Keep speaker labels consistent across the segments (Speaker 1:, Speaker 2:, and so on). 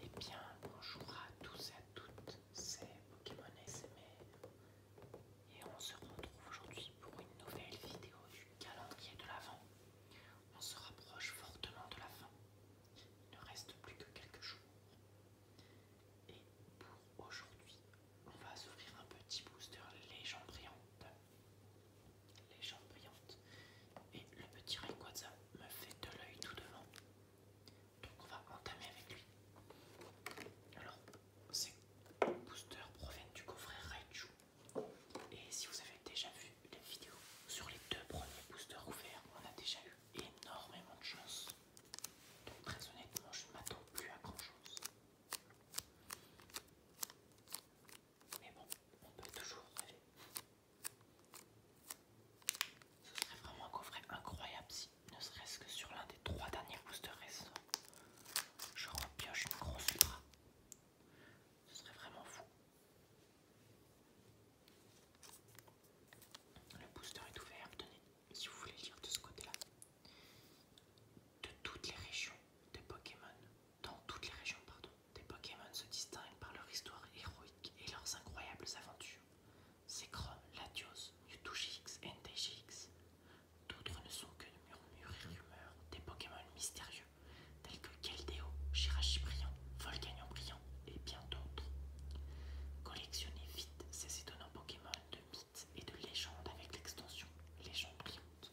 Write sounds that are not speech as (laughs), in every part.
Speaker 1: Et eh bien, bonjour à tous et à toutes, c'est Pokémon SMR et on se retrouve aujourd'hui pour une nouvelle vidéo du calendrier de l'Avent. On se rapproche fortement de la fin, il ne reste plus que quelques jours. Et pour aujourd'hui, on va s'ouvrir un petit booster légendaire les jambes brillantes. Et le petit Rayquaza me fait de l'œil tout devant. Donc on va entamer avec lui. Alors, ces boosters proviennent du coffret Raichu. Et si vous avez déjà vu la vidéo sur les deux premiers boosters ouverts, on a déjà eu énormément de chance. Donc très honnêtement, je ne m'attends plus à grand chose. Mais bon, on peut toujours rêver. Ce serait vraiment un coffret incroyable si, ne serait-ce que sur l'un des trois derniers boosters récents, je repioche une grosse bras. Ce serait vraiment fou. Le booster est ouvert, tenez, si vous voulez lire de ce côté-là. De toutes les régions des Pokémon dans toutes les régions pardon, des Pokémon se distinguent par leur histoire héroïque et leurs incroyables aventures. C'est Chrome, Latios, GX et D'autres ne sont que de murmures et rumeurs des Pokémon mystérieux, tels que Keldeo, Chirachi Brillant, Volcanion Brillant et bien d'autres. Collectionnez vite ces étonnants Pokémon de mythes et de légendes avec l'extension Légendes brillantes »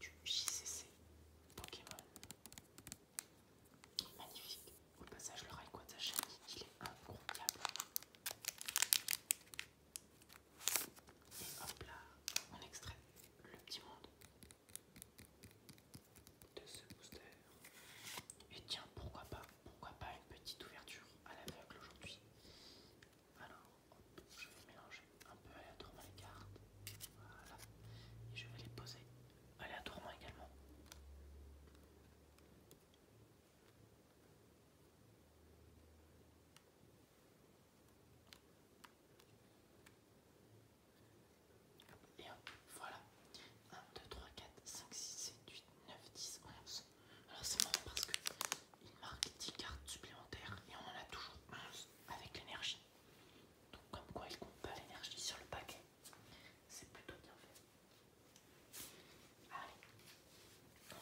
Speaker 1: du JCC Pokémon. Magnifique. Au passage, le rail de chérie, il est incroyable. Et hop là, on extrait le petit monde de ce booster. Et tiens, pourquoi pas, pourquoi pas une petite ouverture à l'aveugle aujourd'hui. Alors, je vais mélanger un peu aléatoirement les cartes. Voilà. Et je vais les poser aléatoirement également. Et voilà. 1, 2, 3, 4, 5, 6, 7, 8, 9, 10, 11. Alors c'est marrant parce qu'il marque 10 cartes supplémentaires et on en a toujours 11 avec l'énergie. Donc comme quoi il compte pas l'énergie sur le paquet. C'est plutôt bien fait. Allez,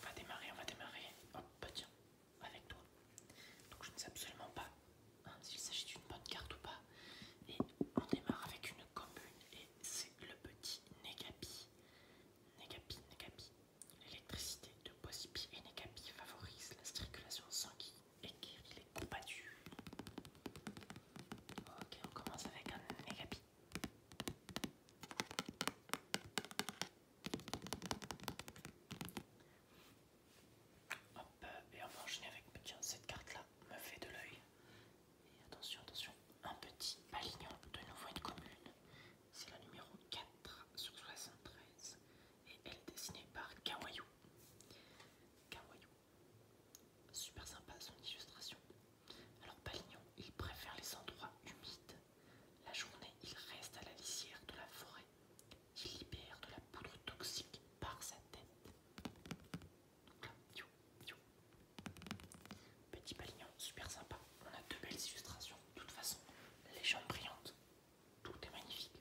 Speaker 1: on va démarrer, on va démarrer. Hop, bah tiens, avec toi. Donc je ne sais absolument pas hein, s'il s'agit d'une bonne carte ou pas. Et on démarre avec une commune et c'est le petit Negapi. Negapi, Negapi. L'électricité de Posipi et Negapi favorise la circulation sanguine qu'il est combattu Ok, on commence avec un pi. Hop, et on va enchaîner avec. Tiens, cette carte-là me fait de l'œil. Et attention, attention, un petit palignon de nouveau une commune. C'est la numéro 4 sur 73. Et elle est dessinée par Kawaiu Kawaiu Super sympa son illustration. Alors Palignon, il préfère les endroits humides. La journée, il reste à la lisière de la forêt. Il libère de la poudre toxique par sa tête. Petit Palignon, super sympa. On a deux belles illustrations. De toute façon, les jambes brillantes. Tout est magnifique.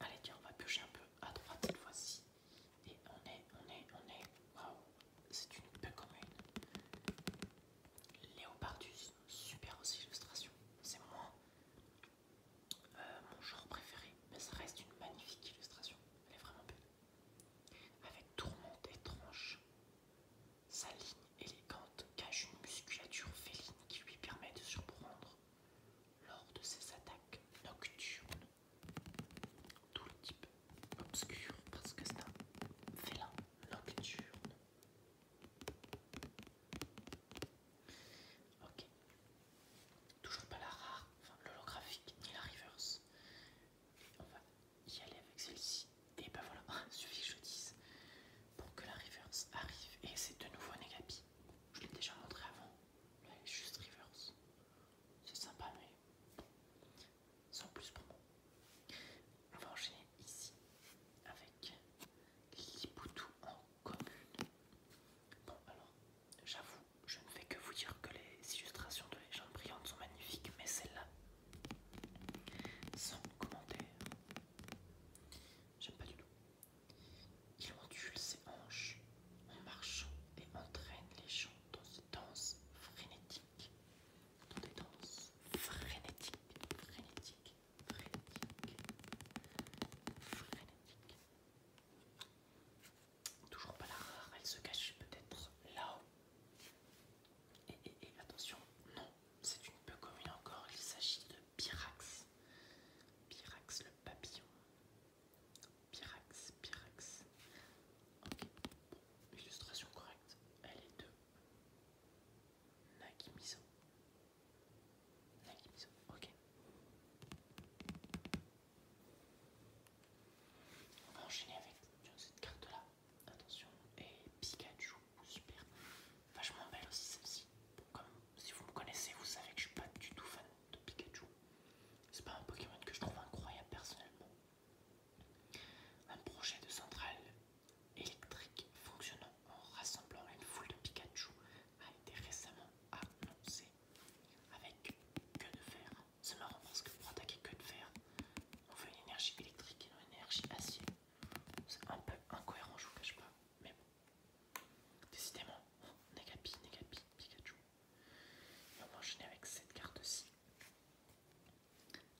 Speaker 1: Allez, tiens, on va piocher un peu à droite cette fois-ci. Et on est, on est, on est. Waouh, c'est une peu commune. Léopardus, super illustration. C'est moins euh, mon genre préféré, mais ça reste une magnifique illustration. Elle est vraiment belle. Avec tourmente et tranche, sa ligne élégante cache une musculature féline qui lui permet de surprendre lors de ses attaques nocturnes. tout le type obscur parce que c'est un félin nocturne. Ok. Toujours pas la rare, enfin l'holographique ni la reverse. on va y aller avec celle-ci. Et ben voilà, (laughs) suffit que je dise pour que la reverse arrive. Et c'est de nouveau Negapi. Je l'ai déjà montré avant est juste reverse. C'est sympa, mais sans plus pour moi. On va enchaîner ici avec Lipoutou en commune. Bon, alors, j'avoue, je ne vais que vous dire que les illustrations de les gens brillantes sont magnifiques, mais celle-là, sans commentaire, j'aime pas du tout. Il ondule ses hanches en marchant et entraîne les gens dans des danses frénétiques. Dans des danses frénétiques, frénétiques, frénétiques, frénétiques. Toujours pas la rare, elle se cache peut-être là-haut. Et, et attention, non, c'est une peu commune encore, il s'agit de Pyrax. Pyrax le papillon. Pyrax, Pyrax. illustration correcte. Elle est de Nagimiso. Nagimiso, ok. On va enchaîner avec cette carte-là. Attention, et Pikachu, super. Vachement belle aussi celle-ci. comme si vous me connaissez, vous savez que je suis pas du tout fan de Pikachu. C'est pas un Pokémon que je trouve incroyable personnellement. Un projet de centrale électrique fonctionnant en rassemblant une foule de Pikachu a été récemment annoncé. Avec que de fer. C'est marrant parce que pour attaquer que de fer, on veut une énergie électrique et non une énergie acier. C'est un peu incohérent, je vous cache pas. Mais bon. Décidément, Negapi, Negapi, Pikachu. on va enchaîner avec cette carte-ci.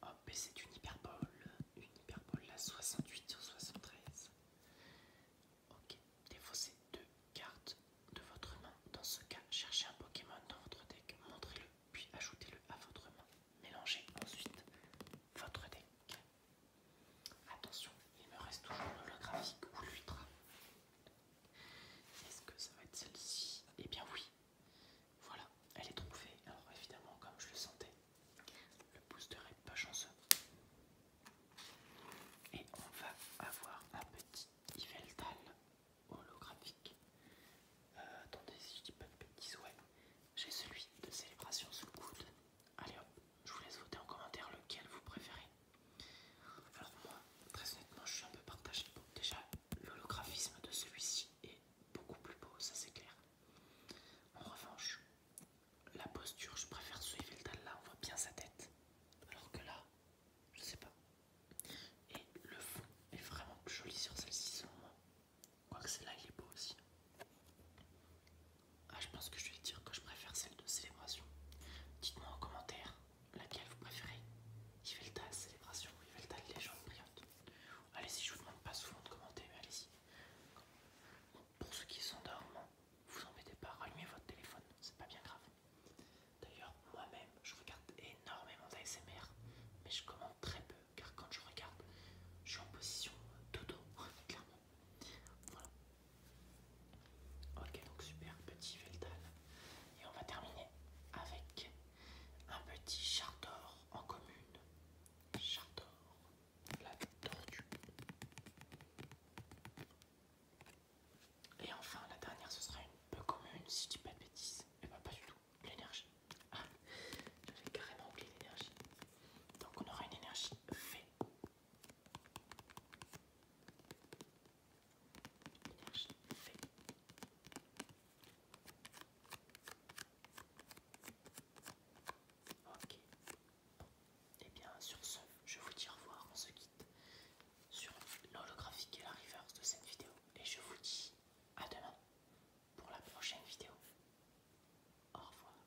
Speaker 1: Hop, et c'est une hyperbole. Une hyperbole, la 68 sur 73. Ok, défaussez deux cartes de votre main. Dans ce cas, cherchez un Pokémon dans votre deck, montrez-le, puis ajoutez-le à votre main. Mélangez ensuite votre deck. Attention, il me reste toujours l'holographique ou l'ultra. Est-ce que ça va être celle-ci Eh bien oui. Voilà, elle est trouvée. Alors évidemment, comme je le sentais, le booster est pas chanceux. Et on va avoir un petit Yveltal holographique. Euh, attendez, si je dis pas de petits J'ai celui de célébration sous le coude. Allez hop je vous laisse voter en commentaire lequel vous préférez. Alors moi, très honnêtement, je suis un peu partagée. déjà, l'holographisme de celui-ci est beaucoup plus beau, ça c'est clair. En revanche, la posture, je préfère le dalle là, on voit bien sa tête. Alors que là, je sais pas. Et le fond est vraiment plus joli sur celle-ci selon moi. Quoique celle-là il est beau aussi. Ah, je pense que je vais dire que je préfère celle de célébration. Dites-moi en commentaire laquelle vous préférez. Yvelta célébration ou Yvelta légende brillante. Allez-y, je vous demande pas souvent de commenter, mais allez-y. pour ceux qui s'endorment, vous embêtez pas, rallumez votre téléphone, c'est pas bien grave. D'ailleurs, moi-même, je regarde énormément d'ASMR, mais je commente très peu, car quand je regarde, je suis en position dodo, (laughs) clairement. Voilà. Ok, donc super petit Veltal. Et on va terminer avec un petit Chardor en commune. Chardor, la tortue. Et enfin, la dernière, ce sera une peu commune, si je dis pas de bêtises. Et eh bah, ben, pas du tout, l'énergie. Ah, j'avais carrément oublié l'énergie. Donc, on aura une énergie fait. Ok. Eh et bien sur ce, je vous dis au revoir, on se quitte sur l'holographique et la reverse de cette vidéo. Et je vous dis à demain pour la prochaine vidéo. Au revoir.